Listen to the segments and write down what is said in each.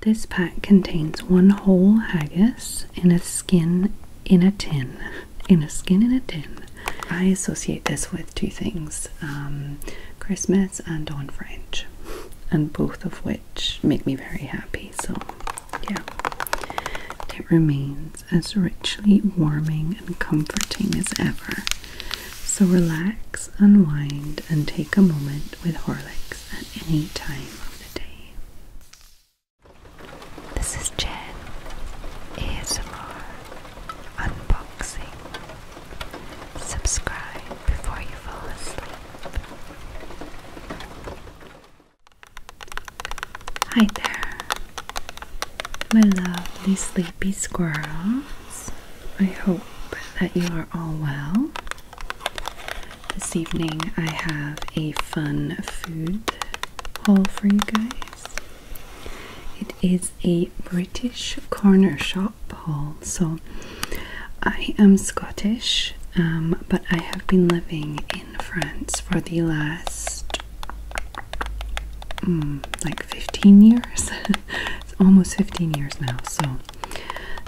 This pack contains one whole haggis in a skin in a tin. In a skin in a tin. I associate this with two things um, Christmas and on French, and both of which make me very happy. So, yeah. It remains as richly warming and comforting as ever. So, relax, unwind, and take a moment with Horlicks at any time of the day. This is Jen ASMR Unboxing. Subscribe before you fall asleep. Hi there, my lovely sleepy squirrels. I hope that you are all well. This evening I have a fun food haul for you guys. It is a British corner shop haul. So I am Scottish, um, but I have been living in France for the last mm, like 15 years. it's almost 15 years now. So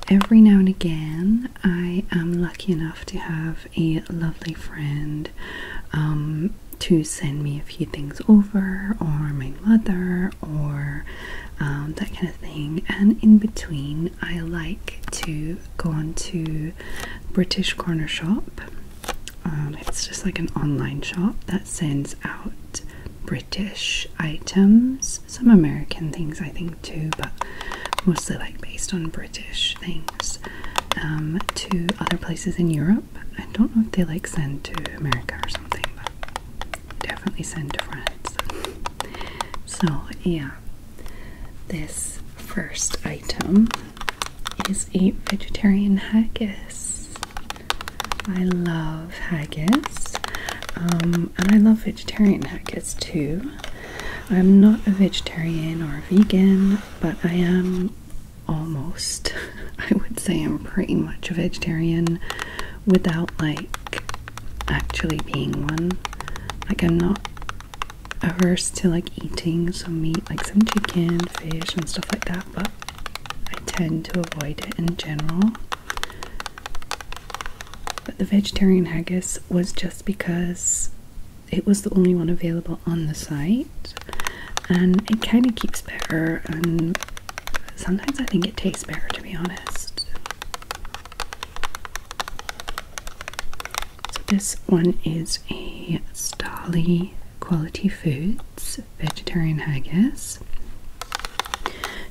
every now and again I am lucky enough to have a lovely friend um, to send me a few things over, or my mother, or um, that kind of thing. And in between, I like to go on to British Corner Shop. Um, it's just like an online shop that sends out British items, some American things, I think too, but mostly like based on British things, um, to other places in Europe. I don't know if they like send to America or something, but definitely send to France. So, yeah, this first item is a vegetarian haggis. I love haggis, um, and I love vegetarian haggis is two. I'm not a vegetarian or a vegan, but I am almost. I would say I'm pretty much a vegetarian without like actually being one. Like I'm not averse to like eating some meat, like some chicken, fish and stuff like that, but I tend to avoid it in general. But the vegetarian haggis was just because it was the only one available on the site, and it kind of keeps better. And sometimes I think it tastes better, to be honest. So this one is a Starly Quality Foods vegetarian haggis.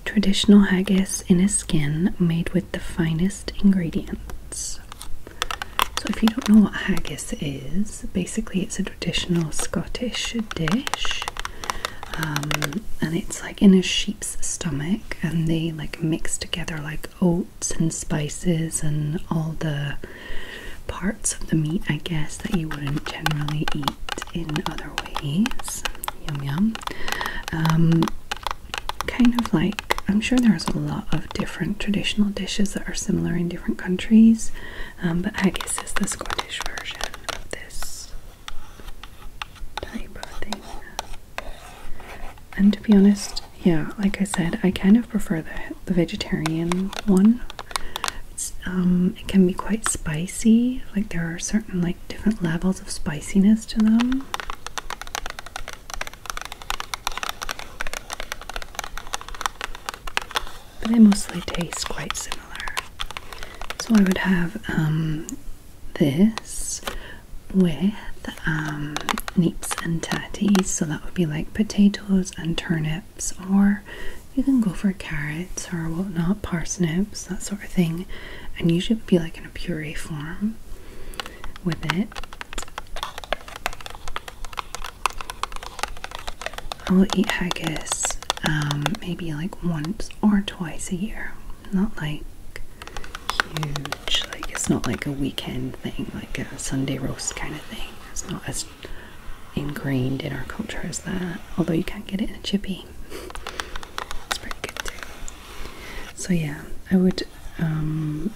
Traditional haggis in a skin made with the finest ingredients. So, if you don't know what haggis is, basically it's a traditional Scottish dish, um, and it's like in a sheep's stomach, and they like mix together like oats and spices and all the parts of the meat, I guess, that you wouldn't generally eat in other ways. Yum yum. Um, kind of like I'm sure there's a lot of different traditional dishes that are similar in different countries, um, but I guess it's the Scottish version of this type of thing. And to be honest, yeah, like I said, I kind of prefer the vegetarian one. Um, it can be quite spicy. Like there are certain like different levels of spiciness to them. But they mostly taste quite similar. So I would have um, this with um, neeps and tatties. So that would be like potatoes and turnips, or you can go for carrots or whatnot, parsnips, that sort of thing. And usually it would be like in a puree form with it. I will eat haggis um, maybe like once or twice a year. Not like huge, like it's not like a weekend thing, like a Sunday roast kind of thing. It's not as ingrained in our culture as that, although you can't get it in a chippy. It's pretty good too. So yeah, I would. Um,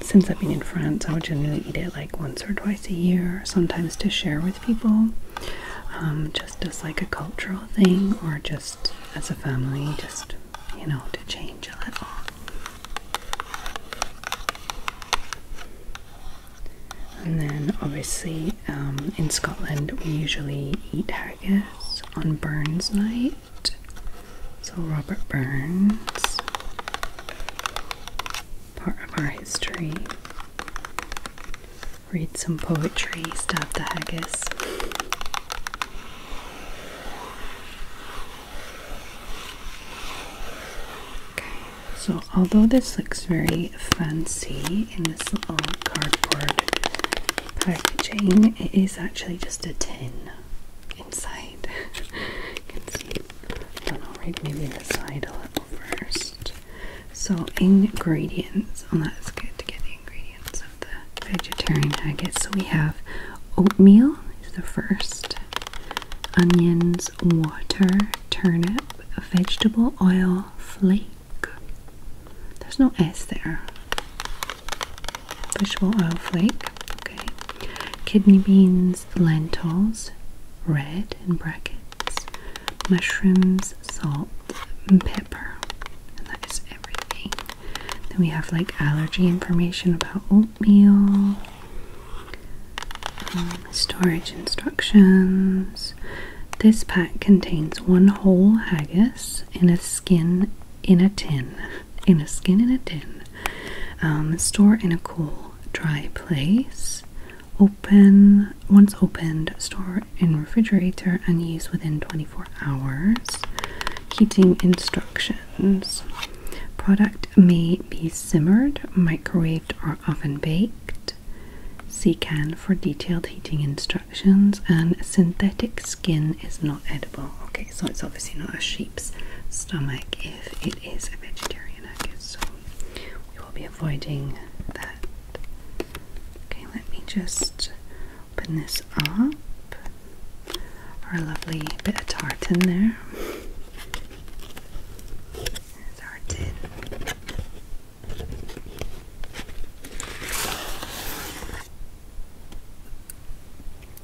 since I've been in France, I would generally eat it like once or twice a year, sometimes to share with people, um, just as like a cultural thing, or just as a family, just you know, to change a little. And then, obviously, um, in Scotland, we usually eat haggis on Burns Night. So, Robert Burns, part of our history. Read some poetry, stop the haggis. so although this looks very fancy in this little cardboard packaging. It is actually just a tin inside. can see. I don't Maybe the side a little first. So ingredients. Oh, that's good to get the ingredients of the vegetarian haggis. So we have oatmeal is the first. Onions, water, turnip, vegetable oil, flakes there's no S there. Fishbowl oil flake. Okay. Kidney beans, lentils, red in brackets, mushrooms, salt, and pepper. And that is everything. Then we have like allergy information about oatmeal, um, storage instructions. This pack contains one whole haggis, in a skin in a tin. In a skin in a tin. Um, store in a cool, dry place. Open once opened, store in refrigerator and use within 24 hours. Heating instructions. Product may be simmered, microwaved, or oven baked. See can for detailed heating instructions and synthetic skin is not edible. Okay, so it's obviously not a sheep's stomach if it is a vegetarian okay, so we will be avoiding that. Okay, let me just open this up. Our lovely bit of tartan there. There's our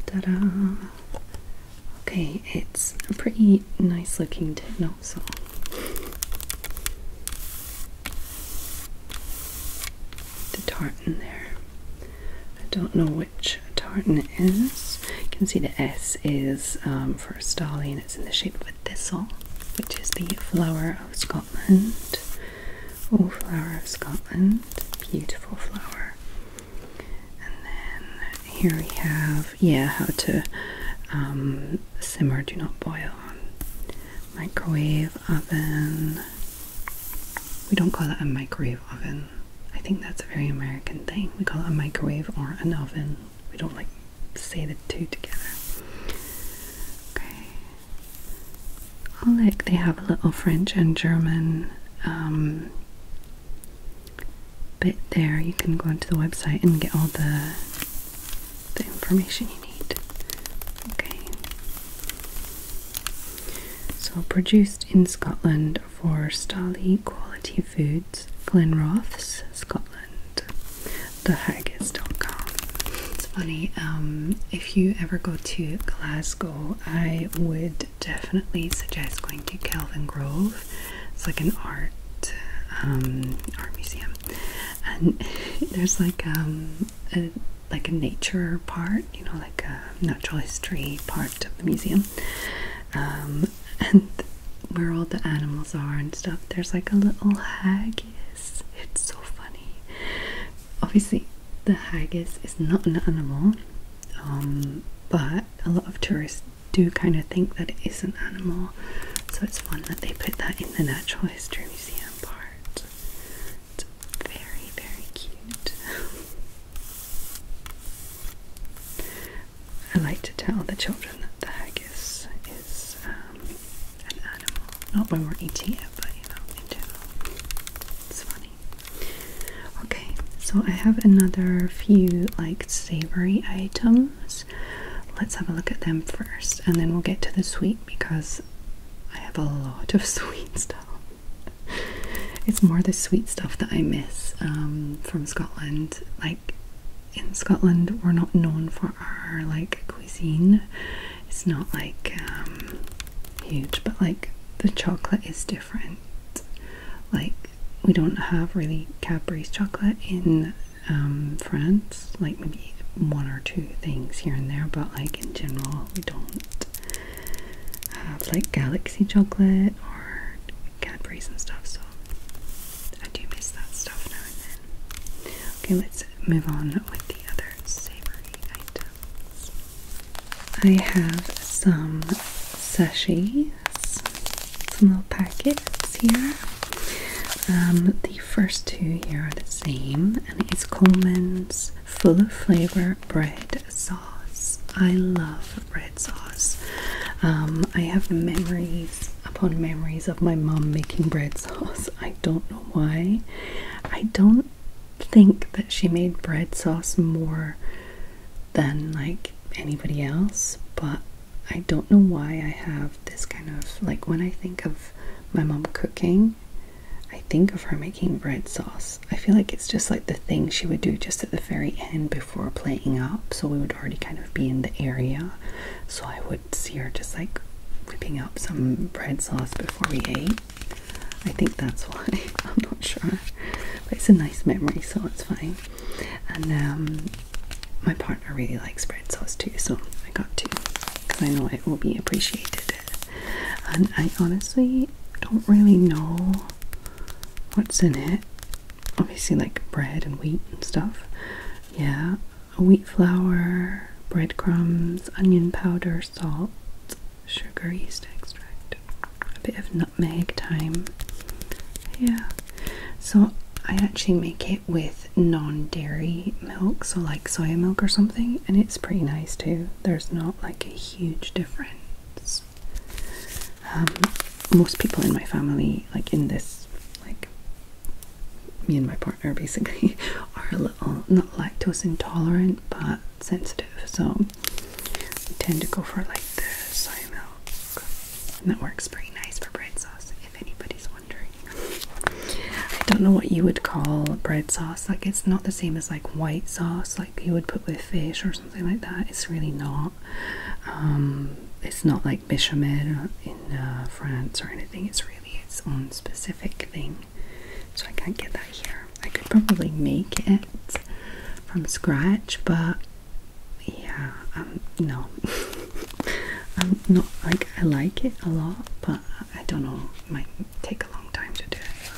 Ta-da! Okay, it's a pretty nice looking techno song. The tartan there. I don't know which tartan it is. You can see the S is um, for a stallion. It's in the shape of a thistle, which is the flower of Scotland. Scotland, flower of Scotland, beautiful flower. And then here we have, yeah, how to um, simmer, do not boil on microwave oven. We don't call that a microwave oven. I think that's a very American thing. We call it a microwave or an oven. We don't like say the two together. Okay, Oh, look, they have a little French and German um, bit there. You can go onto the website and get all the, the information you need. Okay. So, produced in Scotland for Stally Quality Foods, Glenrothes, Scotland, thehaggies.com. It's funny, um, if you ever go to Glasgow, I would definitely suggest going to Kelvin Grove. It's like an art um, art museum, and there's like um, a like a nature part, you know, like a natural history part of the museum, and where all the animals are and stuff. There's like a little hag. Yes, It's so funny. Obviously, the haggis is not an animal, um, but a lot of tourists do kind of think that it is an animal, so it's fun that they put that in the Natural History Museum part. It's very, very cute. I like to tell the children that the haggis is um, animal. Not when we're eating it, but you know, in general. It's funny. Okay, so I have another few like savory items. Let's have a look at them first and then we'll get to the sweet because I have a lot of sweet stuff. It's more the sweet stuff that I miss um, from Scotland. Like in Scotland, we're not known for our like cuisine it's not like um, huge, but like the chocolate is different. Like we don't have really Cadbury's chocolate in um, France. Like maybe one or two things here and there, but like in general, we don't have like Galaxy chocolate or Cadbury's and stuff. So I do miss that stuff now and then. Okay, let's move on with the other savory I have some sachets, some little packets here. Um, the first two here are the same, and it's Coleman's Full of Flavor Bread Sauce. I love bread sauce. Um, I have memories upon memories of my mom making bread sauce. I don't know why. I don't think that she made bread sauce more than like anybody else, but I don't know why I have this kind of like when I think of my mom cooking, I think of her making bread sauce. I feel like it's just like the thing she would do just at the very end before playing up, so we would already kind of be in the area. So I would see her just like whipping up some bread sauce before we ate. I think that's why. I'm not sure. But it's a nice memory, so it's fine. And um, my partner really likes bread sauce too, so I got two because I know it will be appreciated. And I honestly don't really know what's in it. Obviously, like bread and wheat and stuff. Yeah, wheat flour, breadcrumbs, onion powder, salt, sugar, yeast extract, a bit of nutmeg, thyme. Yeah. So I actually make it with non-dairy milk, so like soy milk or something, and it's pretty nice too. There's not like a huge difference. Um, most people in my family, like in this, like me and my partner basically, are a little not lactose intolerant but sensitive, so we tend to go for like the soy milk, and that works pretty nice for bread sauce. If anybody's wondering, I don't know what you would call bread sauce. Like it's not the same as like white sauce, like you would put with fish or something like that. It's really not. Um, it's not like bechamel in uh, France or anything. It's really its own specific thing so I can't get that here. I could probably make it from scratch, but yeah, um, no, I'm not like I like it a lot, but I don't know, it might take a long time to do it.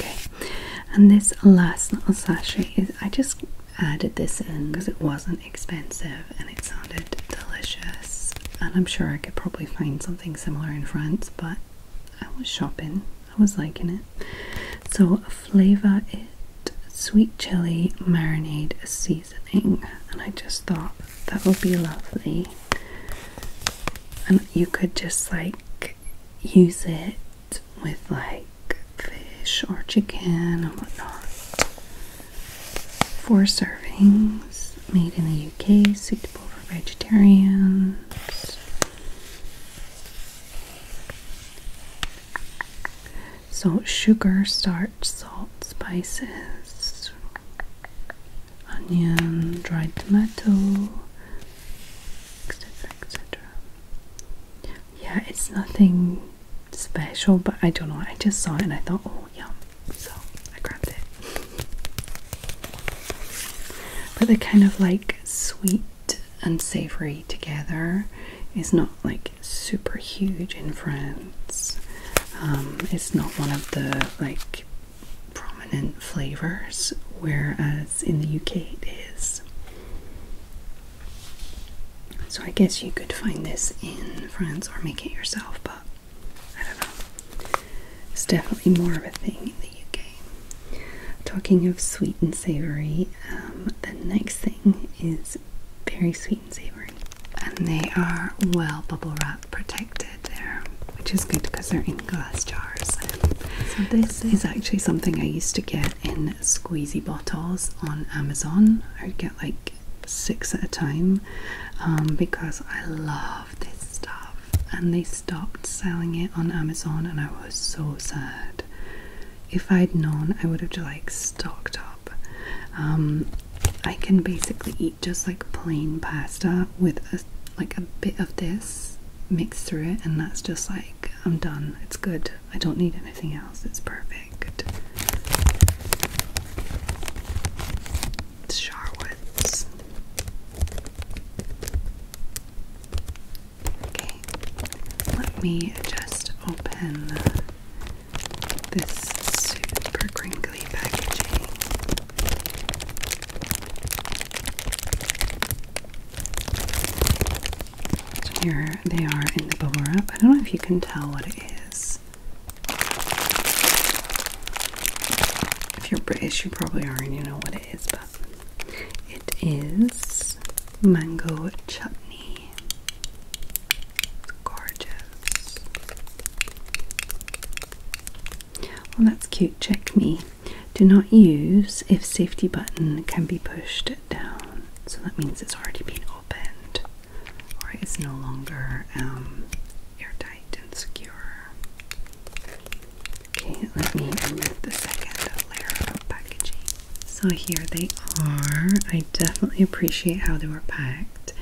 Okay, and this last little sachet is I just added this in because it wasn't expensive and it sounded delicious, and I'm sure I could probably find something similar in France, but I was shopping. I was liking it. So flavor it sweet chili marinade seasoning, and I just thought that would be lovely. And you could just like use it with like fish or chicken and whatnot. Four servings made in the UK, suitable for vegetarians. So, sugar, starch, salt, spices, onion, dried tomato, etc. etc. Yeah, it's nothing special, but I don't know. I just saw it and I thought, oh, yum. So I grabbed it. But they're kind of like sweet and savory together. It's not like super huge in France. Um, it's not one of the like prominent flavors, whereas in the UK it is. So I guess you could find this in France or make it yourself, but I don't know. It's definitely more of a thing in the UK. Talking of sweet and savory, um, the next thing is very sweet and savory. And they are well bubble wrap protected there, um, which is good because they're in glass jars. So this is actually something I used to get in squeezy bottles on Amazon. I'd get like six at a time um, because I love this stuff. And they stopped selling it on Amazon, and I was so sad. If I'd known, I would have just like stocked up. Um, I can basically eat just like plain pasta with like a bit of this mixed through it, and that's just like I'm done. It's good. I don't need anything else. It's perfect. Sharwoods. Okay, let me just open this super crinkly packaging. here they are in the bubble wrap. I don't know if you can tell what it is. If you're British, you probably already know what it is, but it is mango chutney. gorgeous. Well, that's cute. Check me. Do not use if safety button can be pushed down. So that means it's already been opened or it's no longer um, airtight and secure. Okay, let me remove the second layer of packaging. So here they are. I definitely appreciate how they were packed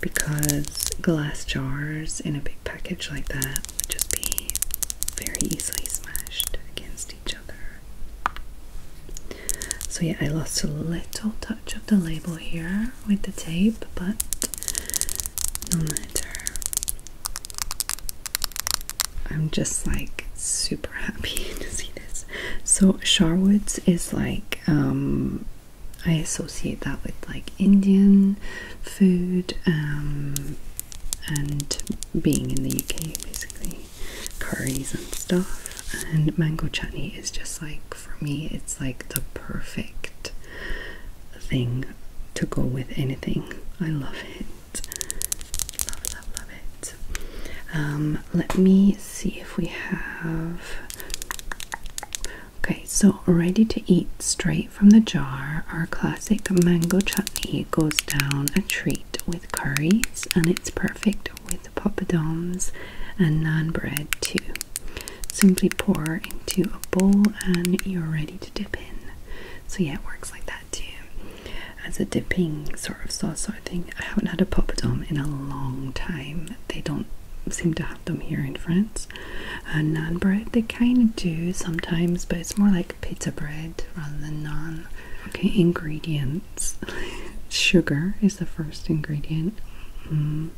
because glass jars in a big package like that would just be very easily smashed against each other. So yeah, I lost a little touch of the label here with the tape, but no matter. I'm just like super happy to see this. So Sharwoods is like um, I associate that with like Indian food um, and being in the UK basically curries and stuff and mango chutney is just like for me it's like the perfect thing to go with anything i love it love love love it um, let me see if we have okay so ready to eat straight from the jar our classic mango chutney goes down a treat with curries and it's perfect with poppadoms and naan bread too simply pour into a bowl and you're ready to dip in. So, yeah, it works like that too. As a dipping sort of sauce sort of thing, I haven't had a poppadom in a long time. They don't seem to have them here in France. Uh, naan bread, they kind of do sometimes, but it's more like pizza bread rather than naan. Okay, ingredients. Sugar is the first ingredient. Hmm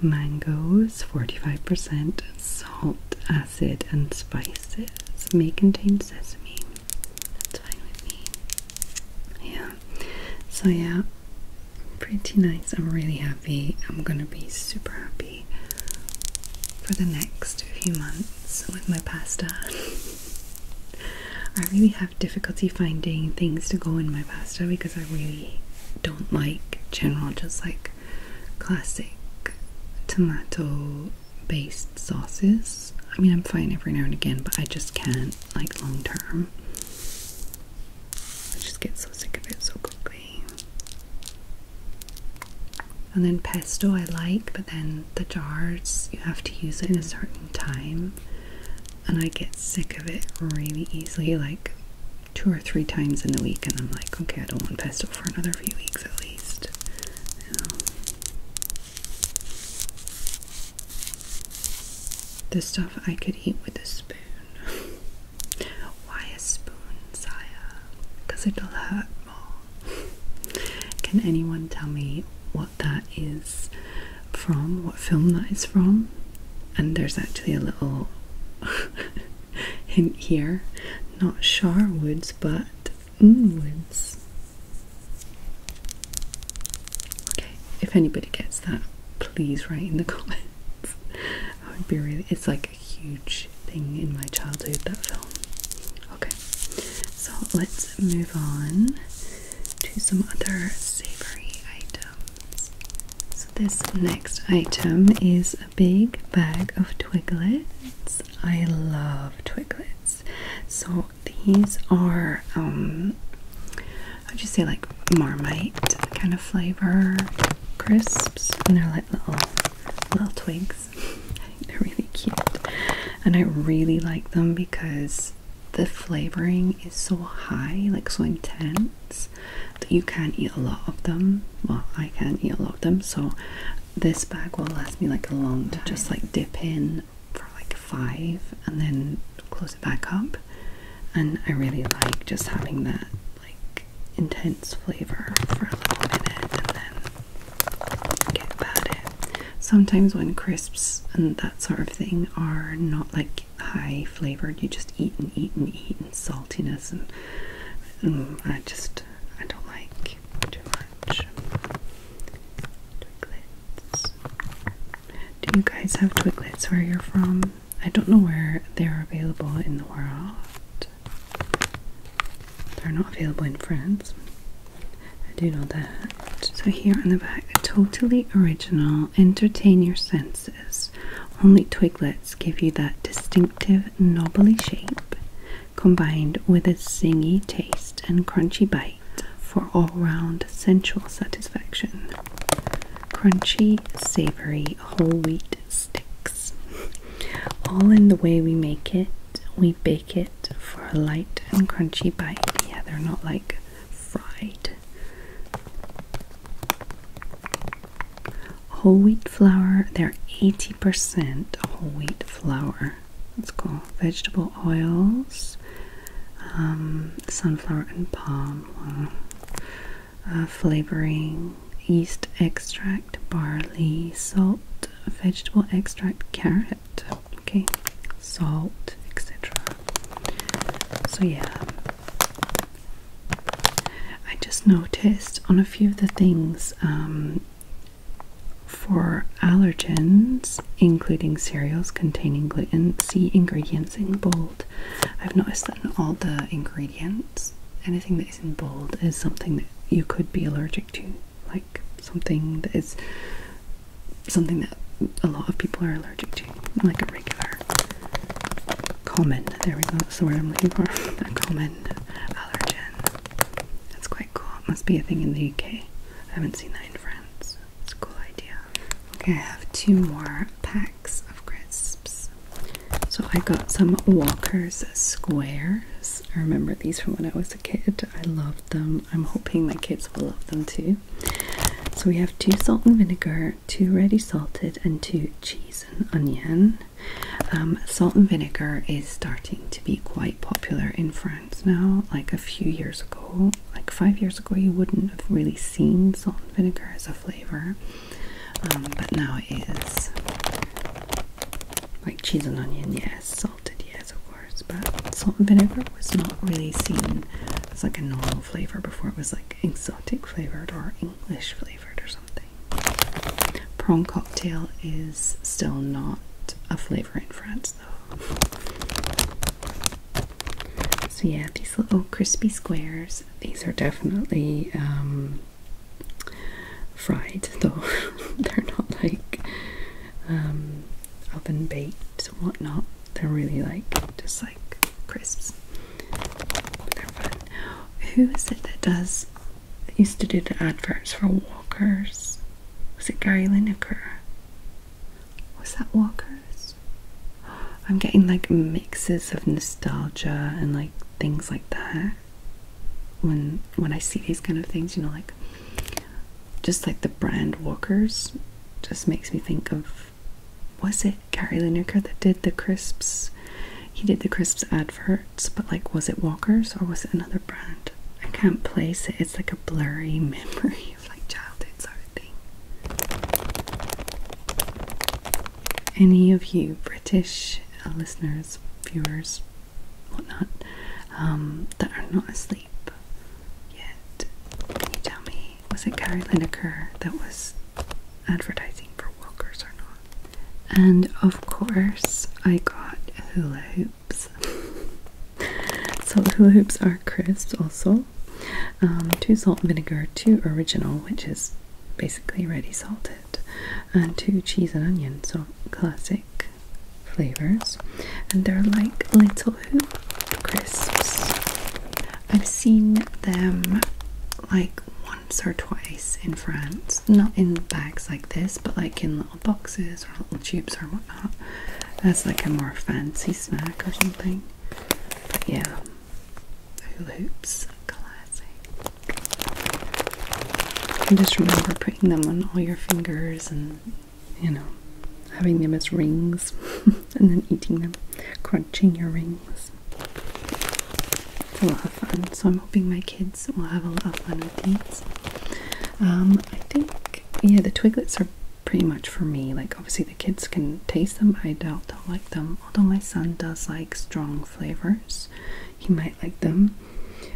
mangoes, 45% salt, acid, and spices. May contain sesame. Yeah. So, yeah, pretty nice. I'm really happy. I'm gonna be super happy for the next few months with my pasta. I really have difficulty finding things to go in my pasta because I really don't like general just like classic tomato based sauces. I mean, I'm fine every now and again, but I just can't like long term. I just get so sick of it so quickly. And then pesto I like, but then the jars you have to use it in a certain time, and I get sick of it really easily. Like two or three times in the week, and I'm like, okay, I don't want pesto for another few weeks at least. The stuff I could eat with a spoon. Why a spoon, Saya? Because it'll hurt more. Can anyone tell me what that is from? What film that is from? And there's actually a little Him here. Not Sharwoods, but Woods. Okay, if anybody gets that, please write in the comments. I would be really, it's like a huge thing in my childhood, that film. Okay, so let's move on to some other savory items. So this next item is a big bag of twiglets. I love twiglets. So these are um how'd you say like marmite kind of flavor crisps and they're like little little twigs. they're really cute. And I really like them because the flavoring is so high, like so intense that you can't eat a lot of them. Well, I can't eat a lot of them, so this bag will last me like a long time. Just like dip in for like five and then close it back up. And I really like just having that like intense flavor for a little minute and then get about it. Sometimes when crisps and that sort of thing are not like high flavored. You just eat and eat and eat and saltiness and, and mm, I just I don't like too much. Twiglets. Do you guys have twiglets where you're from? I don't know where they're available in the world. They're not available in France. I do know that. So here on the back, totally original, entertain your senses. Only twiglets give you that distinctive knobbly shape, combined with a singy taste and crunchy bite for all-round sensual satisfaction. Crunchy, savory, whole wheat sticks. All in the way we make it, we bake it for a light and crunchy bite. Yeah, they're not like fried. Whole wheat flour, they're 80% whole wheat flour. That's cool. Vegetable oils, um, sunflower and palm uh, flavoring, yeast extract, barley, salt, vegetable extract, carrot, okay, salt, etc. So, yeah, I just noticed on a few of the things um, for allergens, including cereals containing gluten, see ingredients in bold. I've noticed that in all the ingredients, anything that is in bold is something that you could be allergic to, like something that is something that a lot of people are allergic to, like a regular common, there we go, that's the word I'm looking for, common allergen. That's quite cool, must be a thing in the UK. I haven't seen that in France. It's a cool idea. Okay, I have two more packs of crisps. So I got some Walker's Squares. I remember these from when I was a kid. I loved them. I'm hoping my kids will love them too. So we have two salt and vinegar, two ready salted, and two cheese lettuce and onion. Um, salt and vinegar is starting to be quite popular in France now. Like a few years ago, like five years ago, you wouldn't have really seen salt and vinegar as a flavor, um, but now it is. Like cheese and onion, yes, salted, yes, of course, but salt and vinegar was not really seen as like a normal flavor before. It was like exotic flavored or English flavored or something. Prawn cocktail is still not a flavor in France though. So yeah, these little crispy squares, these are definitely um, fried though. They're not like um oven baked whatnot. They're really like just like crisps. Who is it that does used to do the adverts for Walkers? Was it Gary Lineker? Was that Walkers? I'm getting like mixes of nostalgia and like things like that. When when I see these kind of things, you know, like just like the brand Walkers just makes me think of was it Gary Lineker that did the crisps? He did the crisps adverts, but like, was it Walker's or was it another brand? I can't place it. It's like a blurry memory of like childhood sort of thing. Any of you British uh, listeners, viewers, whatnot, um, that are not asleep yet, can you tell me, was it Gary Lineker that was advertising for walkers or not. And of course, I got hula hoops. so hula hoops are crisps also. Um, two salt and vinegar, two original, which is basically ready salted, and two cheese and onion, so classic flavors. And they're like little hoop crisps. I've seen them like once or twice in France, not in bags like this, but like in little boxes or little tubes or whatnot. That's like a more fancy snack or something. But yeah, hula hoops, classic. just remember putting them on all your fingers and you know having them as rings and then eating them, crunching your rings. It's a lot of fun, so I'm hoping my kids will have a lot of fun with these. Um, I think, yeah, the Twiglets are pretty much for me. Like, obviously, the kids can taste them. I doubt they'll like them, although my son does like strong flavors. He might like them.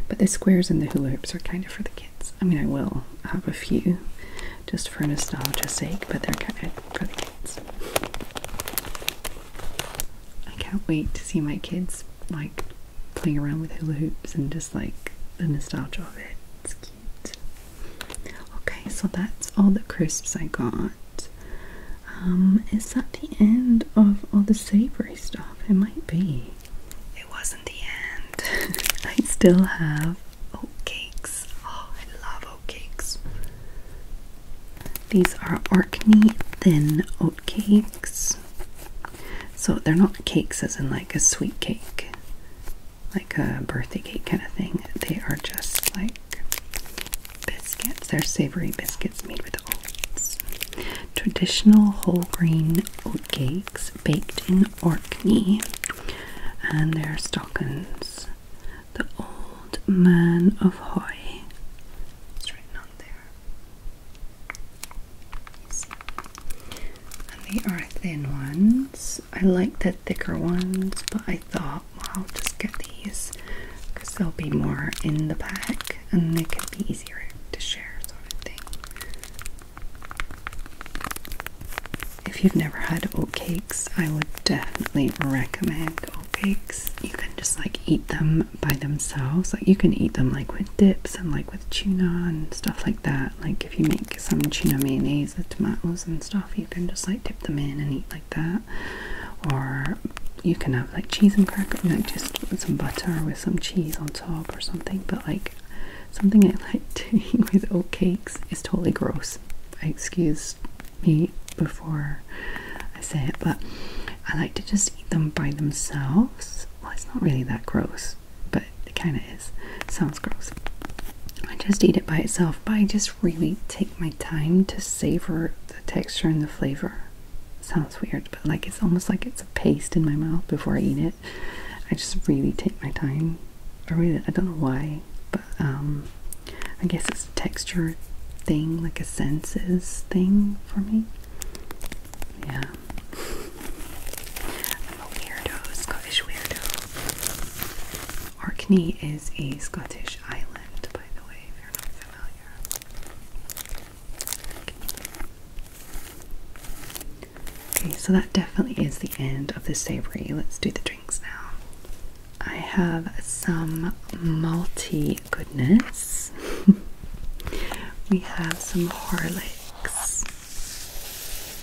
But the squares and the hula hoops are kind of for the kids. I mean, I will have a few just for nostalgia's sake, but they're kind of for the kids. I can't wait to see my kids like playing around with hula hoops and just like the nostalgia of it. It's cute. Okay, so that's all the crisps I got. Um, is that the end of all the savory stuff? It might be. It wasn't the end. I still have oatcakes. Oh, I love oatcakes oat These are Orkney Thin oatcakes, So they're not cakes as in like a sweet cake, like a birthday cake kind of thing. They are just like biscuits. They're savory biscuits made with oats. Traditional whole grain oatcakes baked in Orkney. And they're stockings. The Old Man of Hoi. It's on there. Easy. And they are thin ones. I like the thicker ones, but I thought, well, I'll just get these because they will be more in the pack and they can be easier to share, sort of thing. If you've never had oatcakes, I would definitely recommend funnel You can just like eat them by themselves. Like you can eat them like with dips and like with tuna and stuff like that. Like if you make some tuna mayonnaise with tomatoes and stuff, you can just like dip them in and eat like that. Or you can have like cheese and crackers, like just some butter with some cheese on top or something. But like something I like doing with oatcakes is totally gross. excuse me before I say it, but I like to just eat them by themselves. Well, it's not really that gross, but it kind of is. It sounds gross. I just eat it by itself, but I just really take my time to savor the texture and the flavor. sounds weird, but like it's almost like it's a paste in my mouth before I eat it. I just really take my time. I really, I don't know why, but. Um, I guess it's a texture thing, like a senses thing for me. Yeah. I'm a weirdo, Scottish weirdo. Orkney is a Scottish island, by the way, if familiar. Okay, so that definitely is the end of the savory. Let's do the drinks now. I have some malty goodness. we have some Horlicks.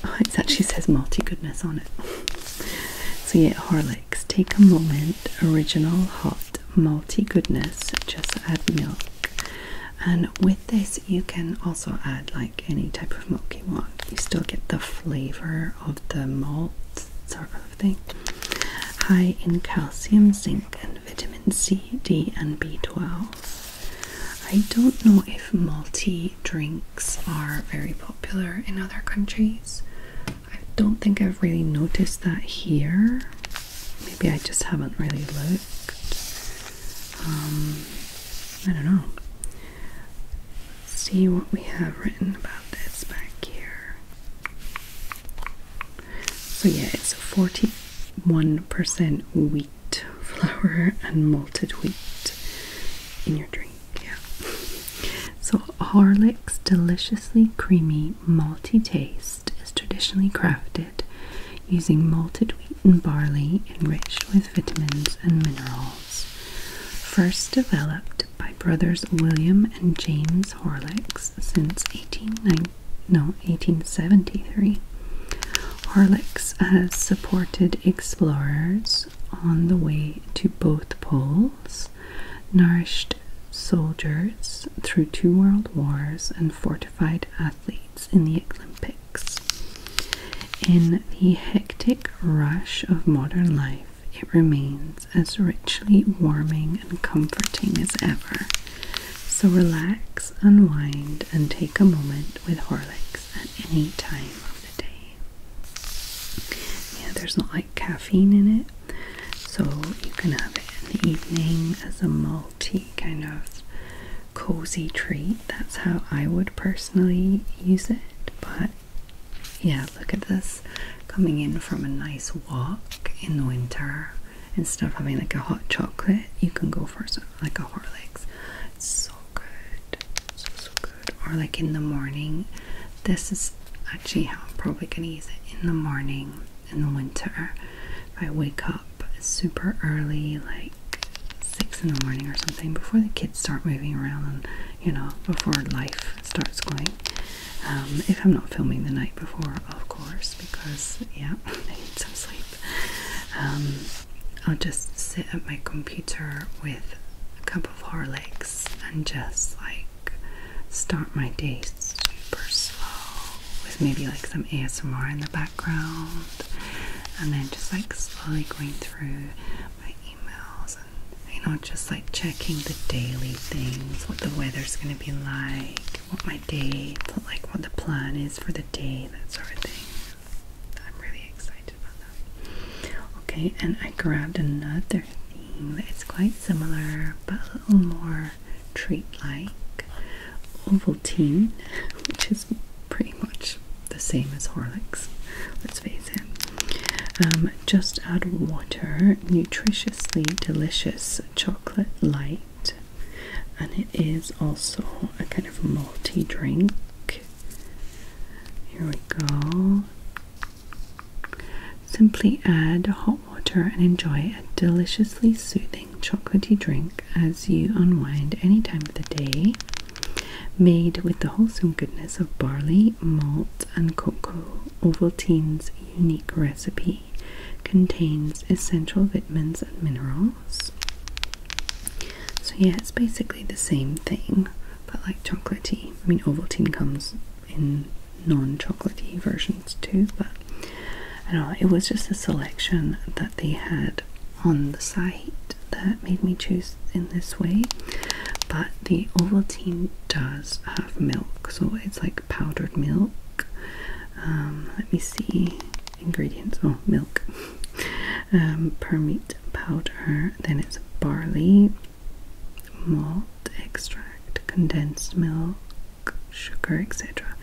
Oh, it actually says malty goodness on it. so yeah, Horlicks. Take a moment. Original hot malty goodness. Just add milk. And with this, you can also add like any type of milk you want. You still get the flavor of the malt, sort thing high in calcium, zinc, and vitamin C, D, and B12. I don't know if malty drinks are very popular in other countries. I don't think I've really noticed that here. Maybe I just haven't really looked. Um, I don't know. Let's see what we have written about this back here. So yeah, it's 41% wheat flour and malted wheat in your drink. Yeah. So Horlick's deliciously creamy malty taste is traditionally crafted using malted wheat and barley enriched with vitamins and minerals. First developed by brothers William and James Horlicks since 1890, no, 1873. Horlicks has supported explorers on the way to both poles, nourished soldiers through two world wars, and fortified athletes in the Olympics. In the hectic rush of modern life, it remains as richly warming and comforting as ever. So relax, unwind, and take a moment with Horlicks at any time of the day. Yeah, there's not like caffeine in it, so you can have it in the evening as a malty kind of cozy treat. That's how I would personally use it, but yeah, look at this coming in from a nice walk in the winter instead of having like a hot chocolate, you can go for some, like a Horlicks. It's so good, so so good. Or like in the morning, this is actually how I'm probably gonna use it in the morning in the winter. If I wake up super early, like six in the morning or something, before the kids start moving around you know, before life starts going. Um, if I'm not filming the night before, of course, because yeah, I need some sleep. Um, I'll just sit at my computer with a cup of Horlicks and just like start my day super slow with maybe like some ASMR in the background and then just like slowly going through my emails you know, just like checking the daily things, what the weather's gonna be like, what my day, like what the plan is for the day, that sort of thing. I'm really excited about that. Okay, and I grabbed another thing that's quite similar, but a little more treat-like, Ovaltine, which is pretty much the same as Horlicks. Let's face it. Um, just add water, Nutritiously Delicious Chocolate Light, and it is also a kind of multi drink. Here we go. Simply add hot water and enjoy a deliciously soothing chocolatey drink as you unwind any time of the day. Made with the wholesome goodness of barley, malt, and cocoa, Ovaltine's unique recipe contains essential vitamins and minerals. So yeah, it's basically the same thing, but like chocolatey. I mean, Ovaltine comes in non-chocolatey versions too, but I don't know. It was just a selection that they had on the site that made me choose in this way. But the Ovaltine does have milk, so it it's like powdered milk. Um, let me see ingredients. Oh, milk. um, permit powder. Then it's barley, malt extract, condensed milk, sugar, etc.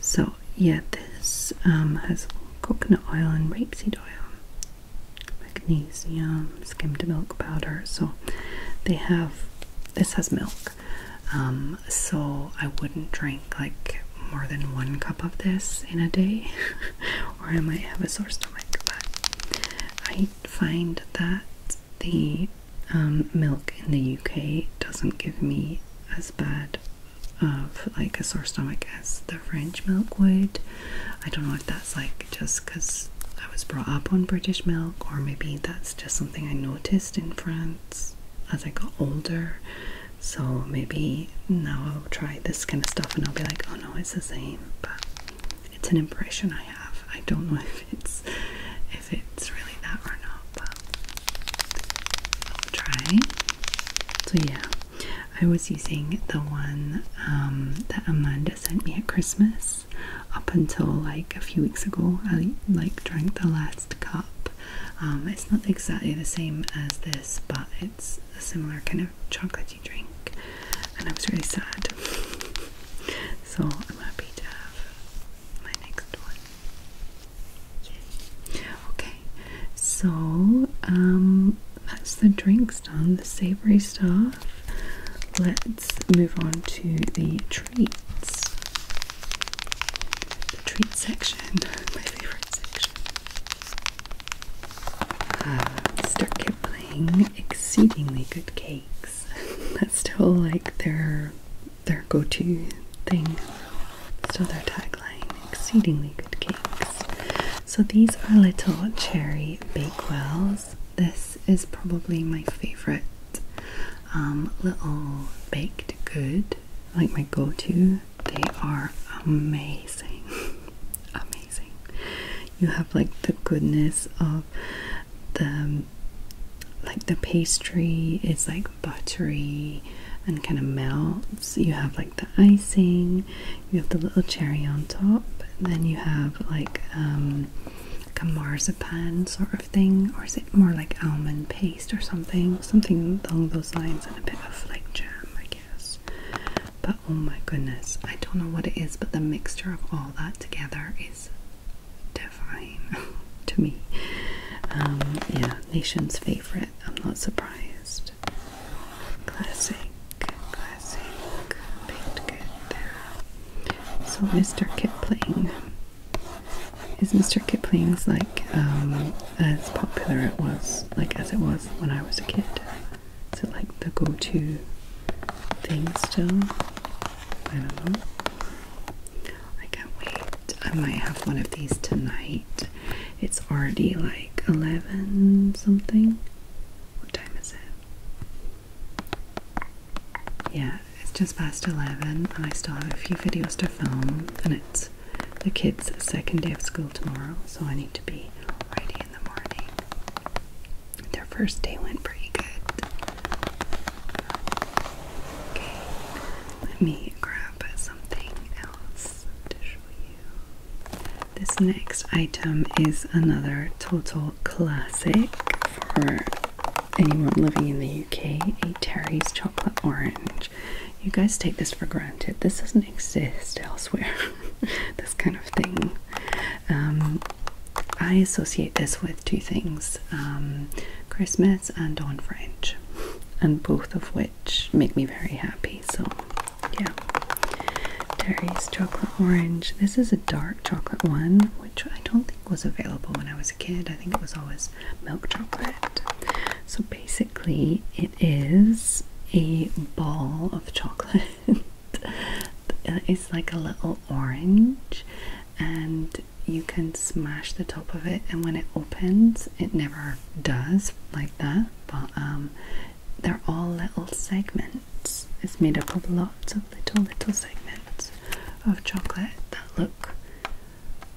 So yeah, this um, has coconut oil and rapeseed oil, magnesium, skimmed milk powder. So they have this has milk. Um, so I wouldn't drink like more than one cup of this in a day, or I might have a sore stomach. But I find that the um, milk in the UK doesn't give me as bad of like a sore stomach as the French milk would. I don't know if that's like just because I was brought up on British milk, or maybe that's just something I noticed in France as I got older. So maybe now I'll try this kind of stuff and I'll be like, oh no, it's the same. But it's an impression I have. I don't know if it's if it's really that or not, but I'll try. So yeah, I was using the one um, that Amanda sent me at Christmas up until like a few weeks ago. I like drank the last cup. Um, it's not exactly the same as this, but it's a similar kind of chocolatey drink, and I was really sad. so I'm happy to have my next one. Okay, so um, that's the drinks done, the savory stuff. Let's move on to the treats. The treat section, my favorite section. Uh, start kept playing exceedingly good cakes. That's still like their their go-to thing. Still their tagline, exceedingly good cakes. So these are little cherry bake bakewells this is probably my favorite um, little baked good, like my go-to. They are amazing, amazing. You have like the goodness of the like the pastry is like buttery and kind of melts. You have like the icing, you have the little cherry on top, then you have like um, like a marzipan sort of thing, or is it more like almond paste or something? Something along those lines, and a bit of like jam, I guess. But oh my goodness, I don't know what it is, but the mixture of all that together is divine to me. Um, yeah, nation's favorite. I'm not surprised. Classic, classic, baked good there. So, Mr. Kipling is Mr. Kipling's like um, as popular it was like as it was when I was a kid. Is it like the go-to thing still? I don't know. I can't wait. I might have one of these tonight. It's already like eleven something. What time is it? yeah, it's just past 11 and I still have a few videos to film and it's the kids' second day of school tomorrow so I need to be ready in the morning. Their first day went pretty good. Okay, let me grab something else to show you. This next item is another total classic for anyone living in the UK a Terry's chocolate orange. You guys take this for granted. This doesn't exist elsewhere. this kind of thing. Um, I associate this with two things: um, Christmas and on French, and both of which make me very happy. So, yeah. Terry's chocolate orange. This is a dark chocolate one, which I don't think was available when I was a kid. I think it was always milk chocolate. So basically, it is a ball of chocolate. Uh, it's like a little orange, and you can smash the top of it. And when it opens, it never does like that. But um, they're all little segments. It's made up of lots of little, little segments of chocolate that look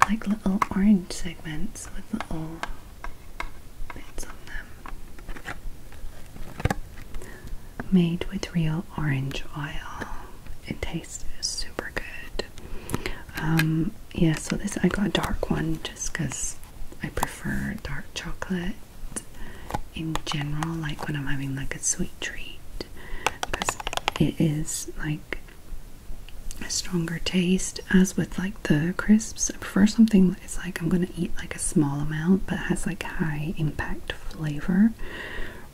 like little orange segments with little bits on them. Made with real orange oil. It tastes super good. Um, yeah, so this I got dark one just because I prefer dark chocolate in general, like when I'm having like a sweet treat because it is like a stronger taste. As with like the crisps, I prefer something that is like I'm gonna eat like a small amount but has like high impact flavor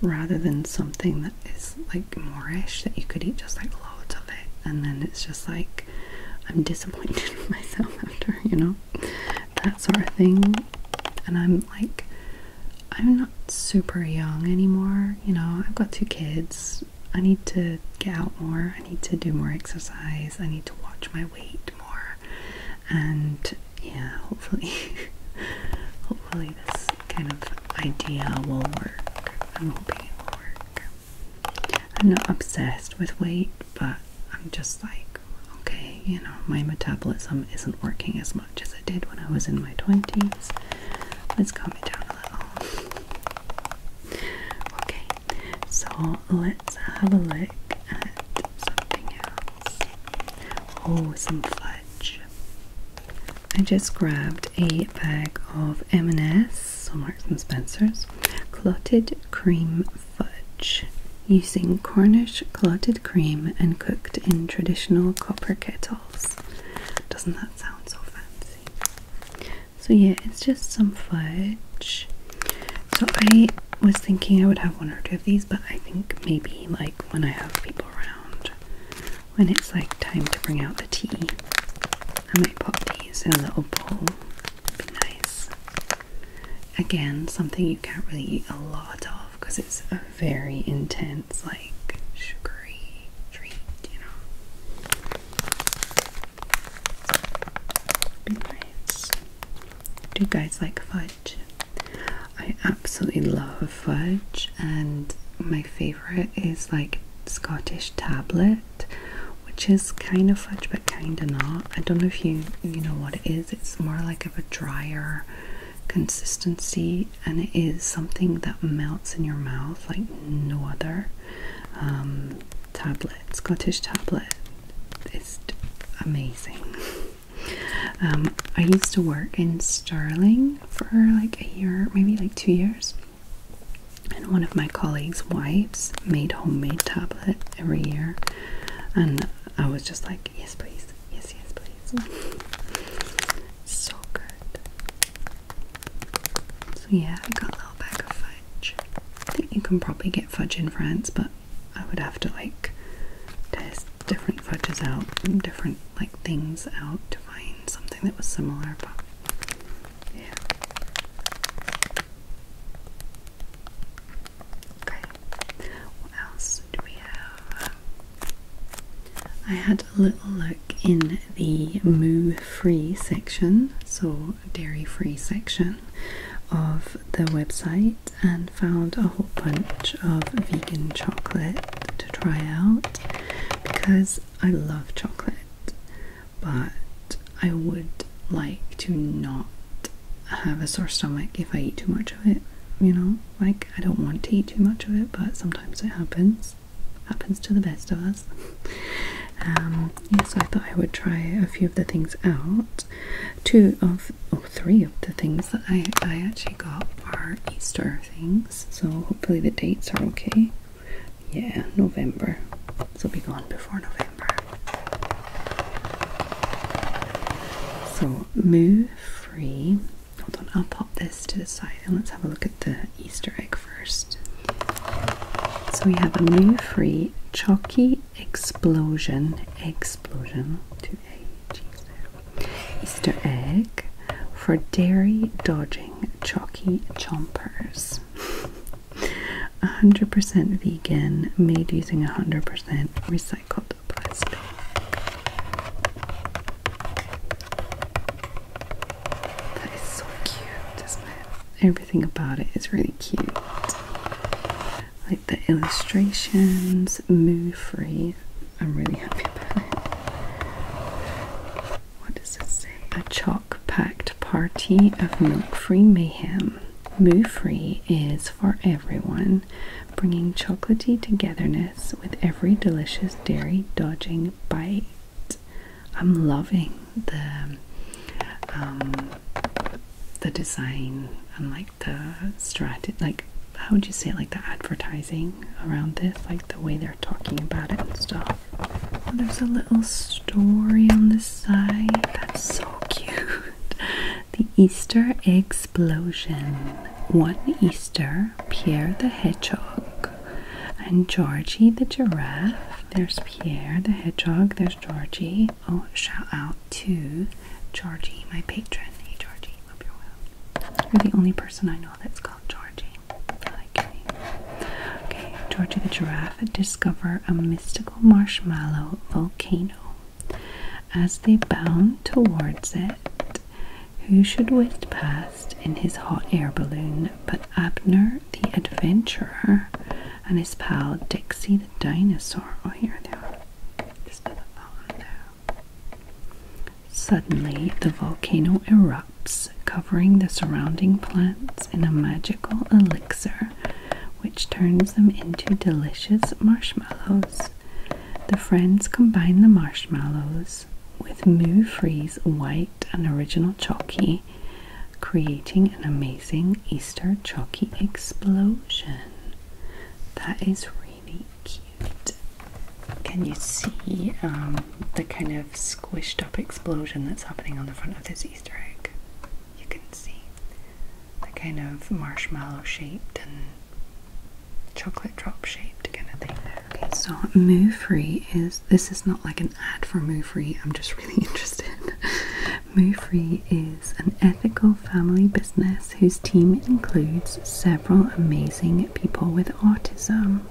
rather than something that is like moreish that you could eat just like loads of it and then it's just like I'm disappointed in myself after, you know that sort of thing. And I'm like, I'm not super young anymore, you know, I've got two kids. I need to get out more, I need to do more exercise, I need to watch my weight more. And yeah, hopefully, hopefully, this kind of idea will work. I'm hoping it will work. I'm not obsessed with weight, but I'm just like, okay, you know, my metabolism isn't working as much as it did when I was in my 20s. Let's calm it down a little. Okay, so let's have a look at something else. Oh, some fudge. I just grabbed a bag of M&S, so Marks and Spencer's, clotted cream fudge using Cornish clotted cream and cooked in traditional copper kettles. Doesn't that sound so fancy? So yeah, it's just some fudge. So I was thinking I would have one or two of these, but I think maybe like when I have people around, when it's like time to bring out the tea, I might pop these in a little bowl. be nice. Again, something you can't really eat a lot of because it's very intense, like sugary treat, you know. Be nice. Do you guys like fudge? I absolutely love fudge, and my favorite is like Scottish tablet, which is kind of fudge but kind of not. I don't know if you you know what it is. It's more like of a drier consistency and it is something that melts in your mouth like no other um, tablet Scottish tablet it's amazing um, I used to work in Sterling for like a year maybe like two years and one of my colleagues wives made homemade tablet every year and I was just like yes please Yes, yes, please. so good. So yeah, I got a little bag of fudge. I think you can probably get fudge in France, but I would have to like test different fudges out, different like things out to find something that was similar. But yeah. Okay. What else? I had a little look in the moo free section, so dairy free section of the website, and found a whole bunch of vegan chocolate to try out because I love chocolate, but I would like to not have a sore stomach if I eat too much of it, you know. Like, I don't want to eat too much of it, but sometimes it happens. Happens to the best of us. Um, yes, I thought I would try a few of the things out. Two of, oh, three of the things that I, I actually got are Easter things. So hopefully the dates are okay. Yeah, November. So be gone before November. So move free. Hold on, I'll pop this to the side and let's have a look at the Easter egg first. So we have a move free chalky explosion, explosion, Easter egg for dairy dodging chalky chompers. 100% vegan, made using 100% recycled that is so cute, isn't Everything about it is really cute. Like the illustrations, moo free. I'm really happy about it. What does it say? A chalk packed party of moo free mayhem. Moo free is for everyone bringing chocolaty togetherness with every delicious dairy dodging bite. I'm loving the um, the design and like the strategy, like how would you say, it? like the advertising around this, like the way they're talking about it and stuff. Oh, there's a little story on the side. That's so cute. The Easter Explosion one Easter, Pierre the Hedgehog and Georgie the Giraffe. There's Pierre the Hedgehog, there's Georgie. Oh, shout out to Georgie, my patron. Hey, Georgie, hope you're You're the only person I know that's called Georgie. Okay, Georgie the Giraffe discover a mystical marshmallow volcano. As they bound towards it, who should whiz past in his hot air balloon but Abner the adventurer and his pal Dixie the dinosaur? Oh, here they are. Just put that one there. Suddenly, the volcano erupts, covering the surrounding plants in a magical elixir which turns them into delicious marshmallows. The friends combine the marshmallows with Moo Free's white and original chalky, creating an amazing Easter chalky explosion. That is really cute. Can you see um, the kind of squished up explosion that's happening on the front of this Easter egg? You can see the kind of marshmallow shaped and chocolate drop shaped kind of thing. Okay, so Moo Free is this is not like an ad for Moo Free. I'm just really interested. Moo Free is an ethical family business whose team includes several amazing people with autism.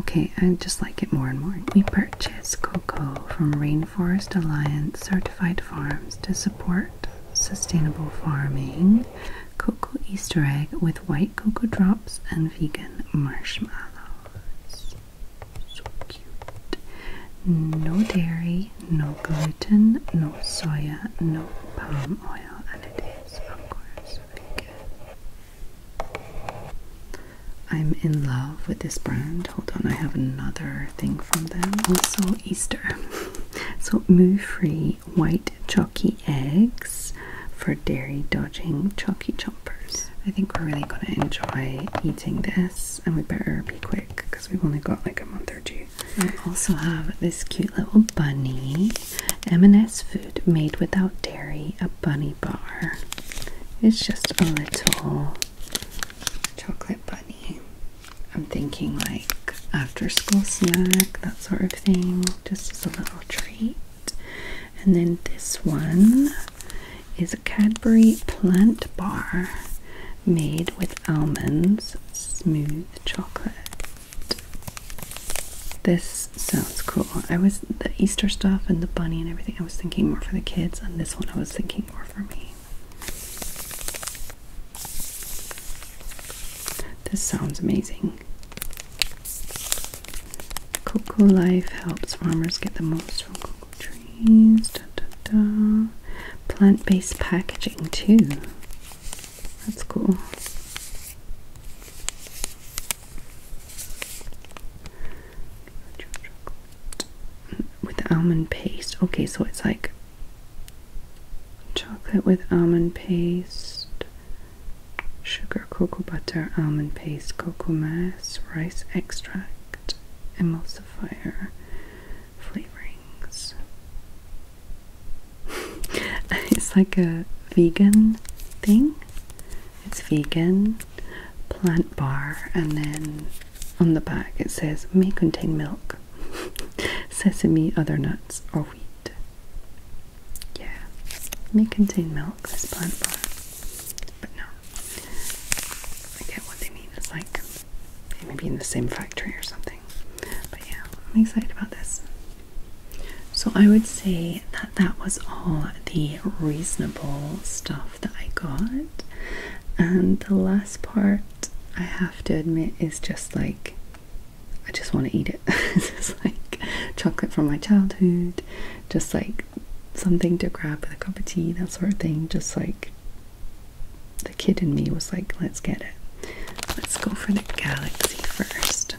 Okay, I just like it more and more. We purchase cocoa from Rainforest Alliance certified farms to support Sustainable Farming Cocoa Easter Egg with white cocoa drops and vegan marshmallows. So cute. No dairy, no gluten, no soya, no palm oil, and it is, of course, vegan. I'm in love with this brand. Hold on, I have another thing from them. Also, Easter. So, Moo Free white chalky eggs for dairy dodging chalky jumpers. I think we're really going to enjoy eating this and we better be quick because we've only got like a month or two. I also have this cute little bunny, M&S food made without dairy, a bunny bar. It's just a little chocolate bunny I'm thinking like after school snack, that sort of thing, just as a little treat. And then this one is a Cadbury plant bar made with almonds, smooth chocolate. This sounds cool. I was the Easter stuff and the bunny and everything. I was thinking more for the kids, and this one I was thinking more for me. This sounds amazing. Cocoa Life helps farmers get the most from cocoa trees. Da, da, da. Plant based packaging, too. That's cool. With almond paste. Okay, so it's like chocolate with almond paste, sugar, cocoa butter, almond paste, cocoa mass, rice extract, emulsifier, flavorings. it's like a vegan thing. It's vegan, plant bar, and then on the back it says may contain milk. sesame, other nuts, or wheat. Yeah, may contain milk, this plant bar, but no. I get what they mean. It's like they may be in the same factory or something. But yeah, I'm excited about this. So I would say that that was all the reasonable stuff that I got. And the last part, I have to admit, is just like I just want to eat it. it's like chocolate from my childhood, just like something to grab with a cup of tea, that sort of thing. Just like the kid in me was like, let's get it. Let's go for the galaxy first.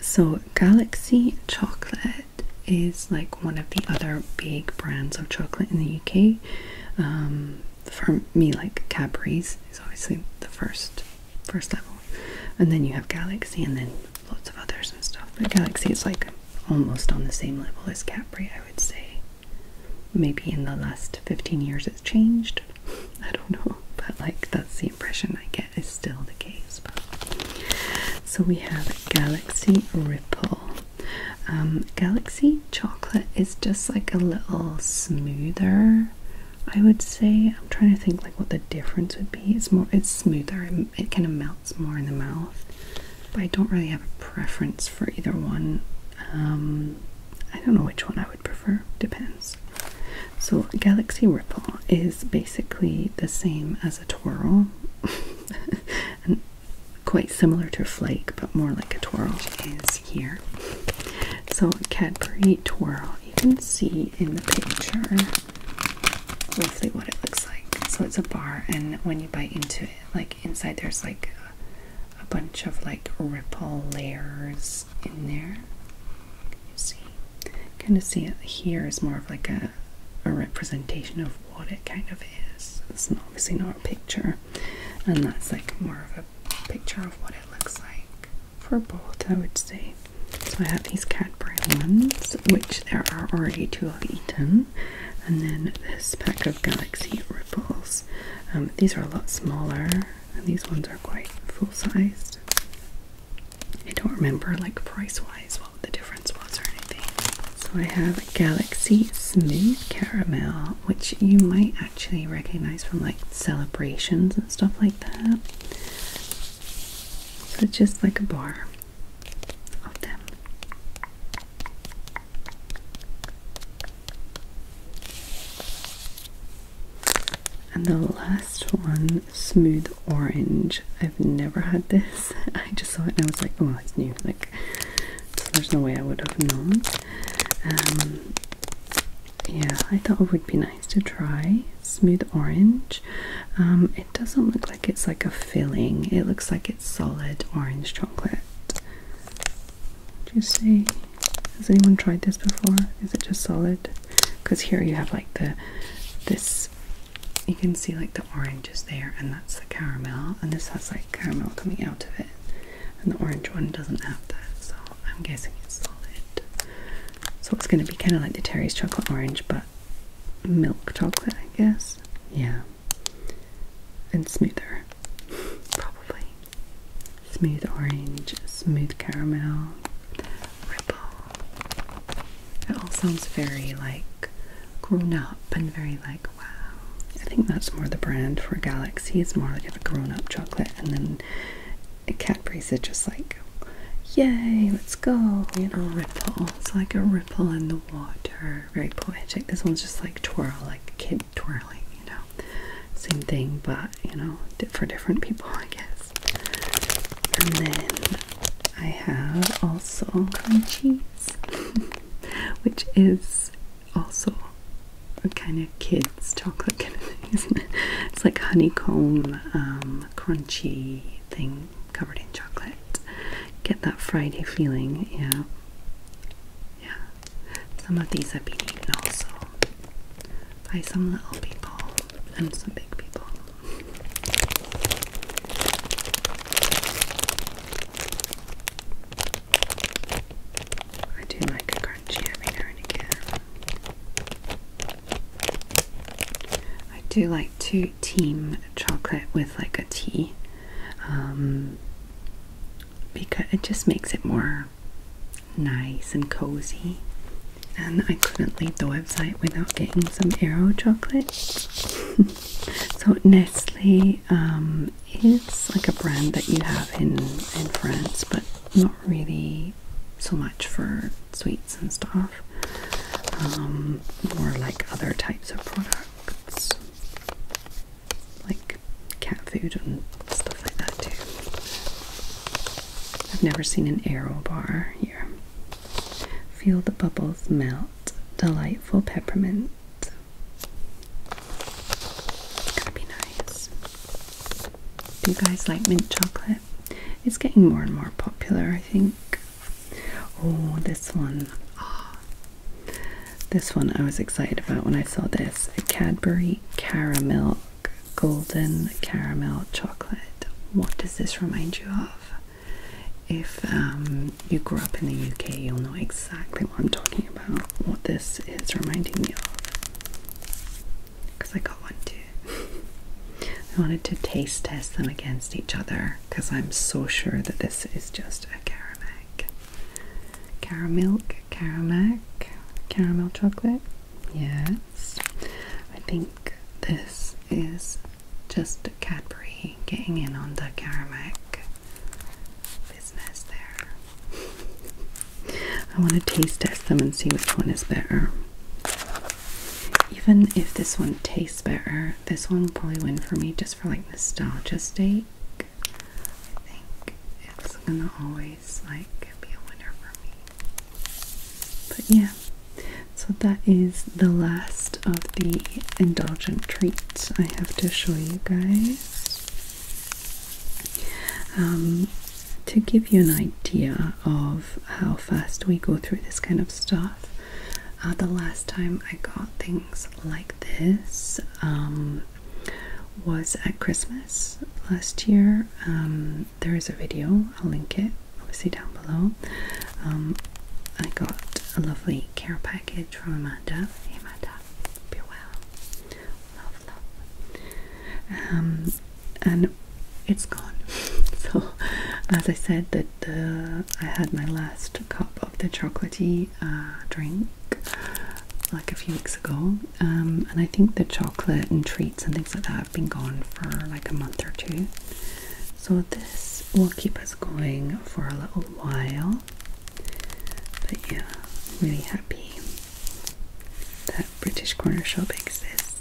So, Galaxy Chocolate is like one of the other big brands of chocolate in the UK. Um, for me, like Cadbury's is obviously the first first level, and then you have Galaxy, and then lots of others and stuff. But Galaxy is like almost on the same level as Capri, I would say. Maybe in the last 15 years it's changed. I don't know, but like that's the impression I get is still the case. So we have Galaxy Ripple. Um, Galaxy chocolate is just like a little smoother I would say I'm trying to think like what the difference would be. It's more it's smoother. It, kind of melts more in the mouth. But I don't really have a preference for either one. Um, I don't know which one I would prefer. Depends. So Galaxy Ripple is basically the same as a twirl. and quite similar to a flake, but more like a twirl is here. So Cadbury Twirl. You can see in the picture roughly what it looks like. So it's a bar, and when you bite into it, like inside there's like a, bunch of like ripple layers in there. You see, kind of see it here is more of like a a representation of what it kind of is. It's obviously not a picture, and that's like more of a picture of what it looks like for both, I would say. So I have these Cadbury ones, which there are already 2 of eaten, and then this pack of Galaxy Ripples. Um, these are a lot smaller, and these ones are quite full-sized. I don't remember, like, price-wise what the difference was or anything. So I have Galaxy Smooth Caramel, which you might actually recognize from like celebrations and stuff like that. So it's just like a bar of them. And the last one, smooth orange. I've never had this. I just saw it and I was like, oh, it's new. Like, there's no way I would have known. Um, yeah, I thought it would be nice to try smooth orange. Um, it doesn't look like it's like a filling, it looks like it's solid orange chocolate. Do you see? Has anyone tried this before? Is it just solid? Because here you have like the this you can see like the orange is there and that's the caramel and this has like caramel coming out of it and the orange one doesn't have that, so I'm guessing it's solid. So it's going to be kind of like the Terry's chocolate orange, but milk chocolate, I guess. Yeah, and smoother, probably. Smooth orange, smooth caramel, ripple. It all sounds very like grown up and very like wow. I think that's more the brand for Galaxy. It's more like a grown up chocolate, and then a cat breathes it just like, yay, let's go, you know, ripple. It's like a ripple in the water. Very poetic. This one's just like twirl, like kid twirling, you know. Same thing, but, you know, for different people, I guess. And then I have also cream cheese, which is also kind of kids chocolate kind of thing, isn't it? It's like honeycomb, um, crunchy thing covered in chocolate. Get that Friday feeling, yeah. Yeah. Some of these have been eaten also by some little people and some big people. I do like I do like to team chocolate with like a tea um, because it just makes it more nice and cozy. And I couldn't leave the website without getting some Aero chocolate. so Nestle um, is like a brand that you have in in France, but not really so much for sweets and stuff, um, more like other types of products, like cat food and stuff like that too. I've never seen an arrow bar here. Feel the bubbles melt. Delightful peppermint. It's gonna be nice. Do you guys like mint chocolate? It's getting more and more popular, I think. Oh, this one. Oh. This one I was excited about when I saw this. A Cadbury Caramel Golden Caramel Chocolate. What does this remind you of? If um, you grew up in the UK, you'll know exactly what I'm talking about. What this is reminding me of because I got one too. I wanted to taste test them against each other because I'm so sure that this is just a Caramelk. caramel, Caramelk, caramel chocolate. Yes. I think this is just Cadbury getting in on the Caramelk business there. I want to taste test them and see which one is better. Even if this one tastes better, this one will probably win for me just for like nostalgia sake. I think it's gonna always like be a winner for me. But yeah, so that is the last of the indulgent treats I have to show you guys. Um, to give you an idea of how fast we go through this kind of stuff, uh, the last time I got things like this um, was at Christmas last year. Um, there is a video, I'll link it obviously down below. Um, I got a lovely care package from Amanda. Hey Amanda, be well love, love. Um, and it's gone. so, as I said, that uh, I had my last cup of the chocolaty uh, drink like a few weeks ago, um, and I think the chocolate and treats and things like that have been gone for like a month or two. So this will keep us going for a little while. But yeah, really happy British Corner Shop exists.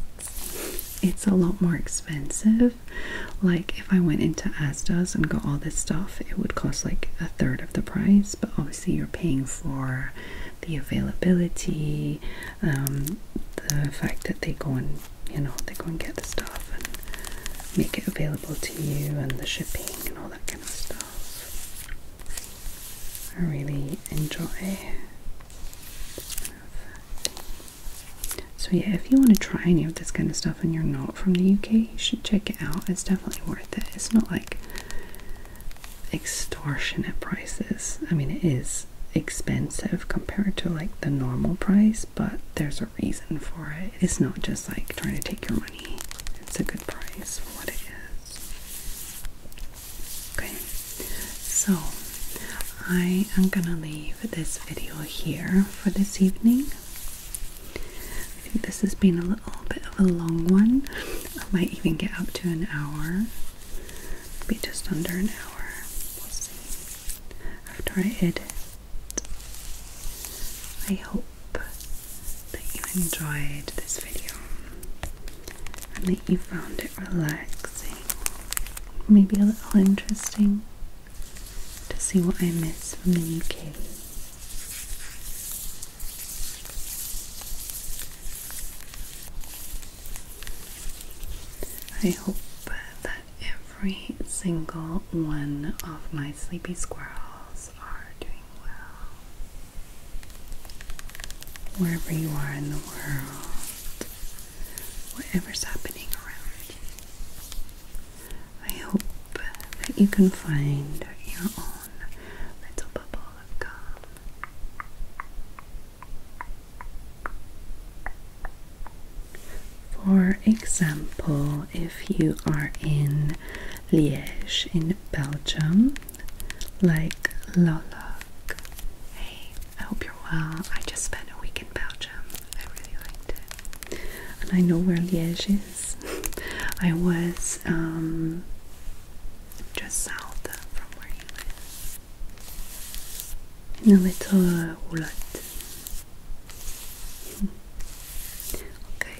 It's a lot more expensive. Like if I went into Asda's and got all this stuff, it would cost like a third of the price, but obviously you're paying for the availability, um, the fact that they go and you know they go and get the stuff and make it available to you, and the shipping and all that kind of stuff. I really enjoy. So yeah, if you want to try any of this kind of stuff and you're not from the UK, you should check it out. It's definitely worth it. It's not like extortionate prices. I mean, it is expensive compared to like the normal price, but there's a reason for it. It's not just like trying to take your money. It's a good price for what it is. Okay, so I am gonna leave this video here for this evening. I think this has been a little bit of a long one. I might even get up to an hour, be just under an hour. We'll see after I edit. I hope that you enjoyed this video and that you found it relaxing, maybe a little interesting to see what I miss from the UK. I hope that every single one of my sleepy squirrels are doing well wherever you are in the world, whatever's happening around you. I hope that you can find your own little bubble of calm. For example, if you are in Liège in Belgium, like Lolok. Hey, I hope you're well. I just spent a week in Belgium. I really liked it. And I know where Liège is. I was um, just south from where you live. In a little uh, Okay,